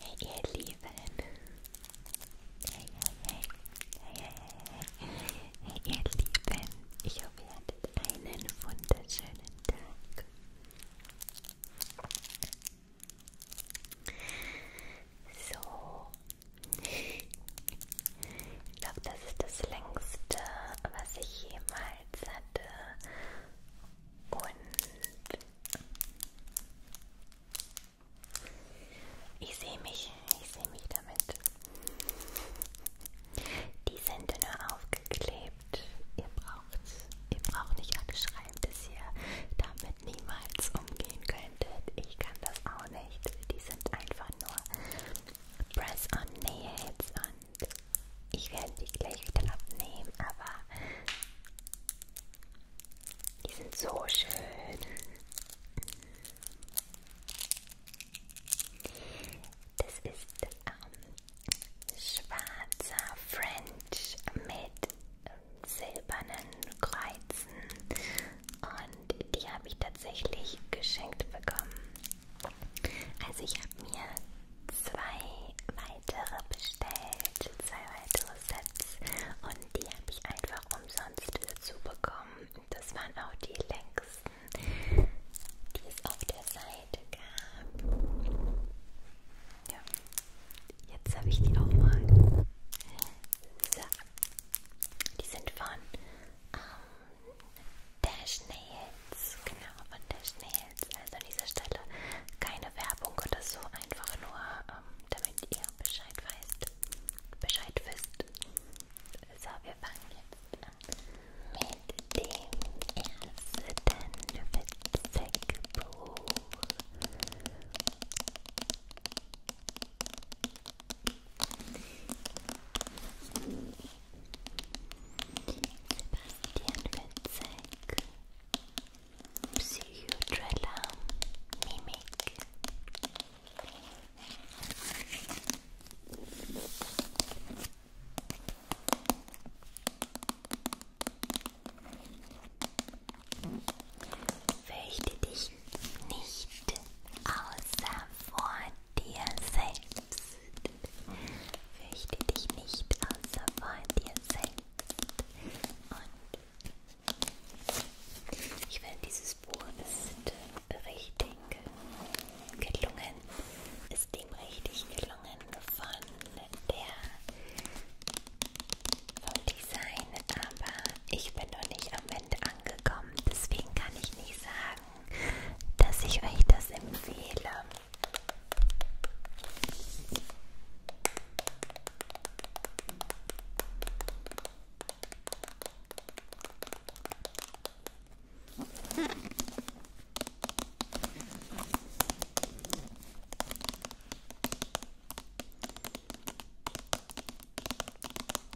Hey ihr Lieben! Hey, hey, hey, hey, hey, hey, ihr Lieben! Ich hoffe, ihr hattet einen wunderschönen Tag. So, ich glaube, das ist das längste, was ich jemals hatte. Und ich sehe mich, ich sehe mich damit. Die sind nur aufgeklebt. Ihr braucht, ihr braucht nicht anschreiben, dass ihr damit niemals umgehen könntet. Ich kann das auch nicht. Die sind einfach nur Press-on Nails und ich werde die gleich wieder abnehmen, aber die sind so schön. Das ist ähm, schwarzer French mit silbernen Kreuzen und und die habe ich tatsächlich geschenkt bekommen. Also ich habe mir zwei weitere bestellt, zwei weitere Sets und die habe ich einfach umsonst dazu bekommen. Das waren auch die längsten, die es auf der Seite gab. Ja, jetzt habe ich die auch mal. So. Die sind von ähm, der Schneehilz, genau, und der Schneehilz. Also an dieser Stelle keine Werbung oder so, einfach nur, ähm, damit ihr Bescheid weißt, Bescheid wisst. So, wir fangen jetzt an mit dem ersten Witzigbuch. Sebastian Witzek, Psychotrella, Mimic. Fürchte dich nicht außer vor dir selbst. Fürchte dich nicht außer vor dir selbst. Und ich finde, dieses Buch ist äh, richtig gelungen, ist ihm richtig gelungen von der vom Design, aber ich bin noch nicht am Ende angekommen. Deswegen kann ich nicht sagen, dass ich euch das empfehle.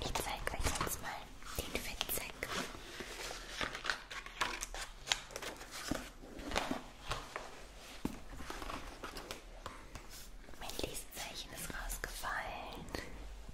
Ich zeige euch jetzt mal den Fettsack. Mein Lesezeichen ist rausgefallen.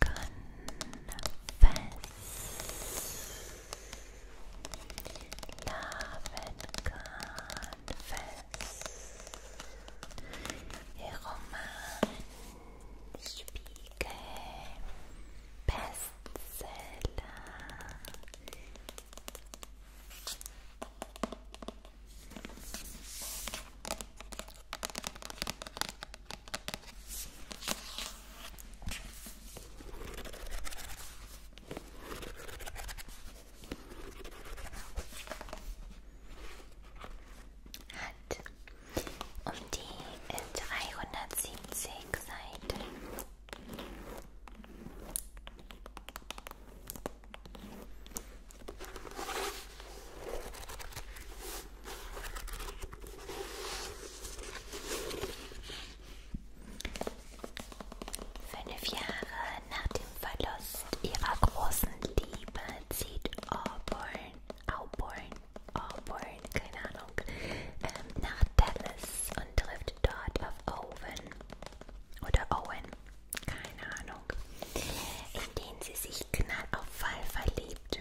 confess. Love and confess. Roman Spiegel Bestseller. Hat um die äh, dreihundertsiebzig Seiten. Fünf Jahre nach dem Verlust ihrer großen Liebe zieht Auburn, Auburn, Auburn, keine Ahnung, ähm, nach Dallas und trifft dort auf Owen oder Owen, keine Ahnung, in den sie sich knall auf Fall verliebt.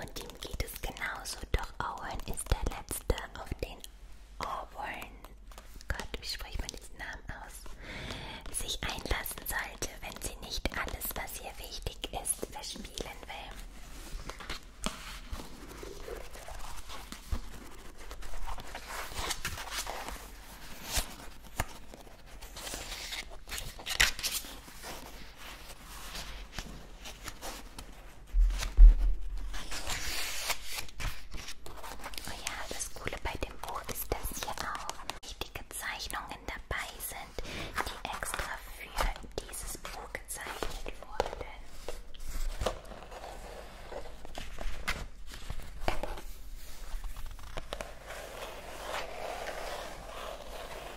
Und ihm geht es genauso, doch Owen ist der Letzte, auf den Owen, Gott, wie spricht man diesen Namen aus, sich einlassen sollte, wenn sie nicht alles, was ihr wichtig ist, verspielen will. Oh ja, das Coole bei dem Buch ist, dass hier auch wichtige Zeichnungen dabei sind, die extra für dieses Buch gezeichnet wurden.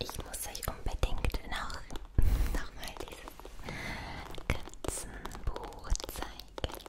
Ich muss euch unbedingt noch, noch mal dieses Katzenbuch zeigen.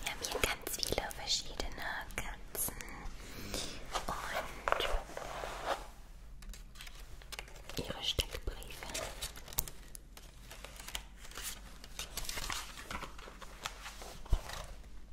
Wir haben hier ganz viele verschiedene Katzen und ihre Steckbriefe.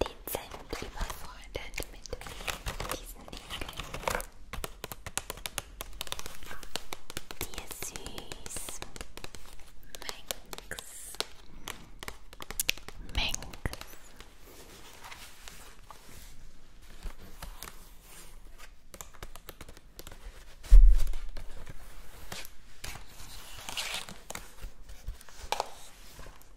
dezent überfordert mit diesen Nägeln. Ihr süß. Mengs. Mengs.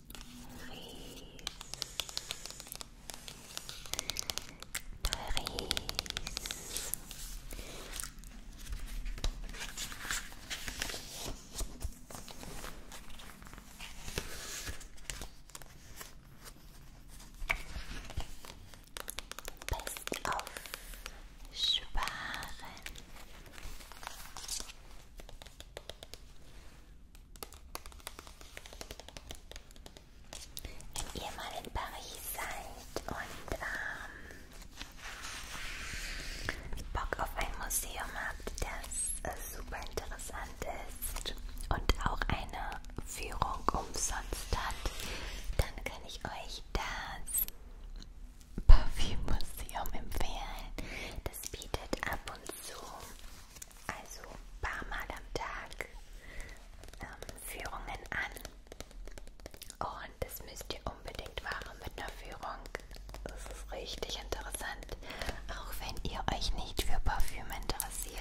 Paris. Best auf Sparen. Wenn ihr mal in Paris seid und ähm, Bock auf ein Museum habt, das äh, super interessant ist und auch eine Führung umsonst hat, dann kann ich euch das Parfümmuseum empfehlen. Das bietet ab und zu also ein paar Mal am Tag ähm, Führungen an und das müsst ihr unbedingt machen mit einer Führung. Das ist richtig interessant, auch wenn ihr euch nicht für Parfüm interessiert.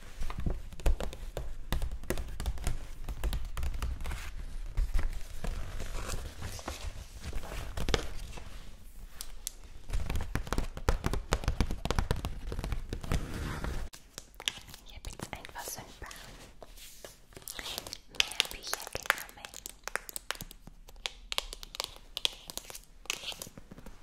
Ich habe jetzt einfach so ein paar mehr Bücher genommen.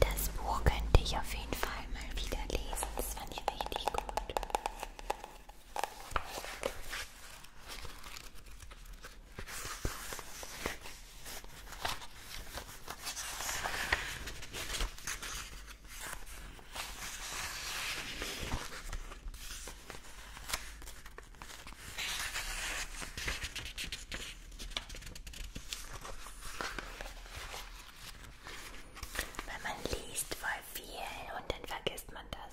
Das Buch könnte ich auf jeden Fall mal wieder lesen. Das fand ich richtig gut. Weil man liest voll viel und dann vergisst man das.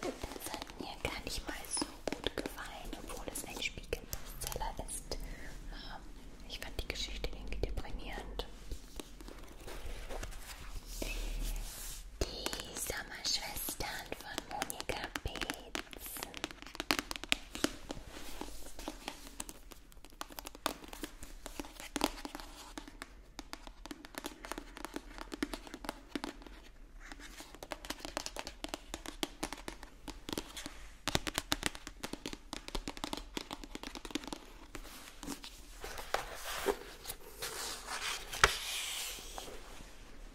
Das hat mir gar nicht mal so gut gefallen, obwohl es ein Spiegelbestseller ist. Ähm, ich fand die Geschichte irgendwie deprimierend. Die Sommerschwestern von Monika Beetzen.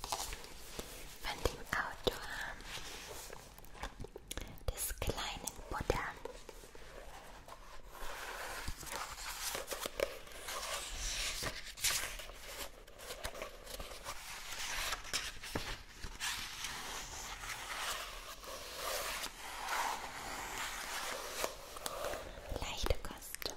von dem Autor des kleinen Buddha. Leichte Kost.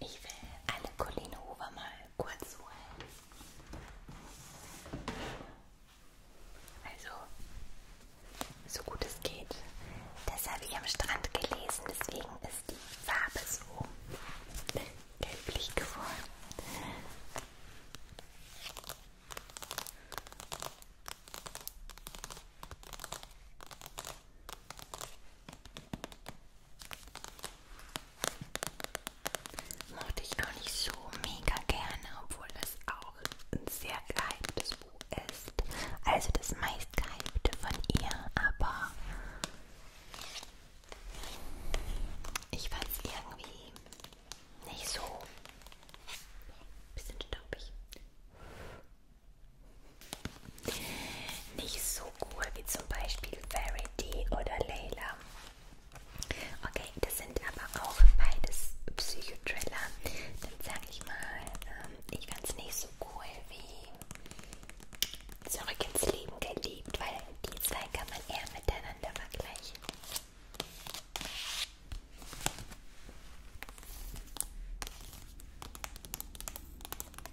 Ich will alle Colleen Hoover mal kurz holen. Also, so gut es geht. Das habe ich am Strand gelesen, deswegen ist die Farbe so gelblich geworden. Mochte ich auch nicht so mega gerne, obwohl das auch ein sehr gehyptes Buch ist. Also das meist gehypte von ihr, aber ich fand es irgendwie nicht so. Bisschen staubig. Nicht so cool wie zum Beispiel Verity oder Layla. Okay, das sind aber auch beides Psychothriller. Dann sage ich mal, ähm, ich fand nicht so cool wie Zurück ins Leben geliebt, weil die zwei kann man eher miteinander vergleichen.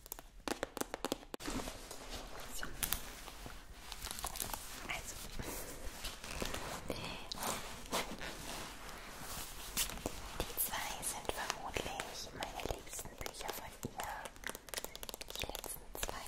So. Also. Die zwei sind vermutlich meine liebsten Bücher von ihr. Die letzten zwei.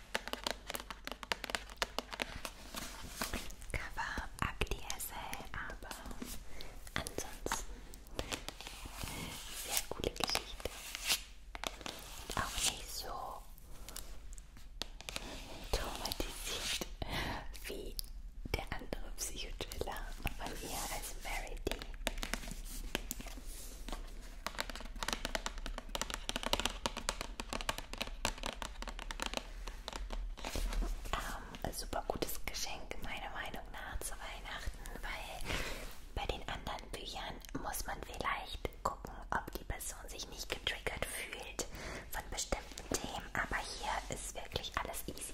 Cover ab die SL, aber ansonsten sehr coole Geschichte. Und auch nicht so traumatisiert wie der andere Psychothriller von ihr als Mary D. Ähm, super gutes Geschenk, meiner Meinung nach, zu Weihnachten, weil bei den anderen Büchern muss man vielleicht gucken, ob die Person sich nicht getriggert fühlt von bestimmten Themen. Aber hier ist wirklich alles easy.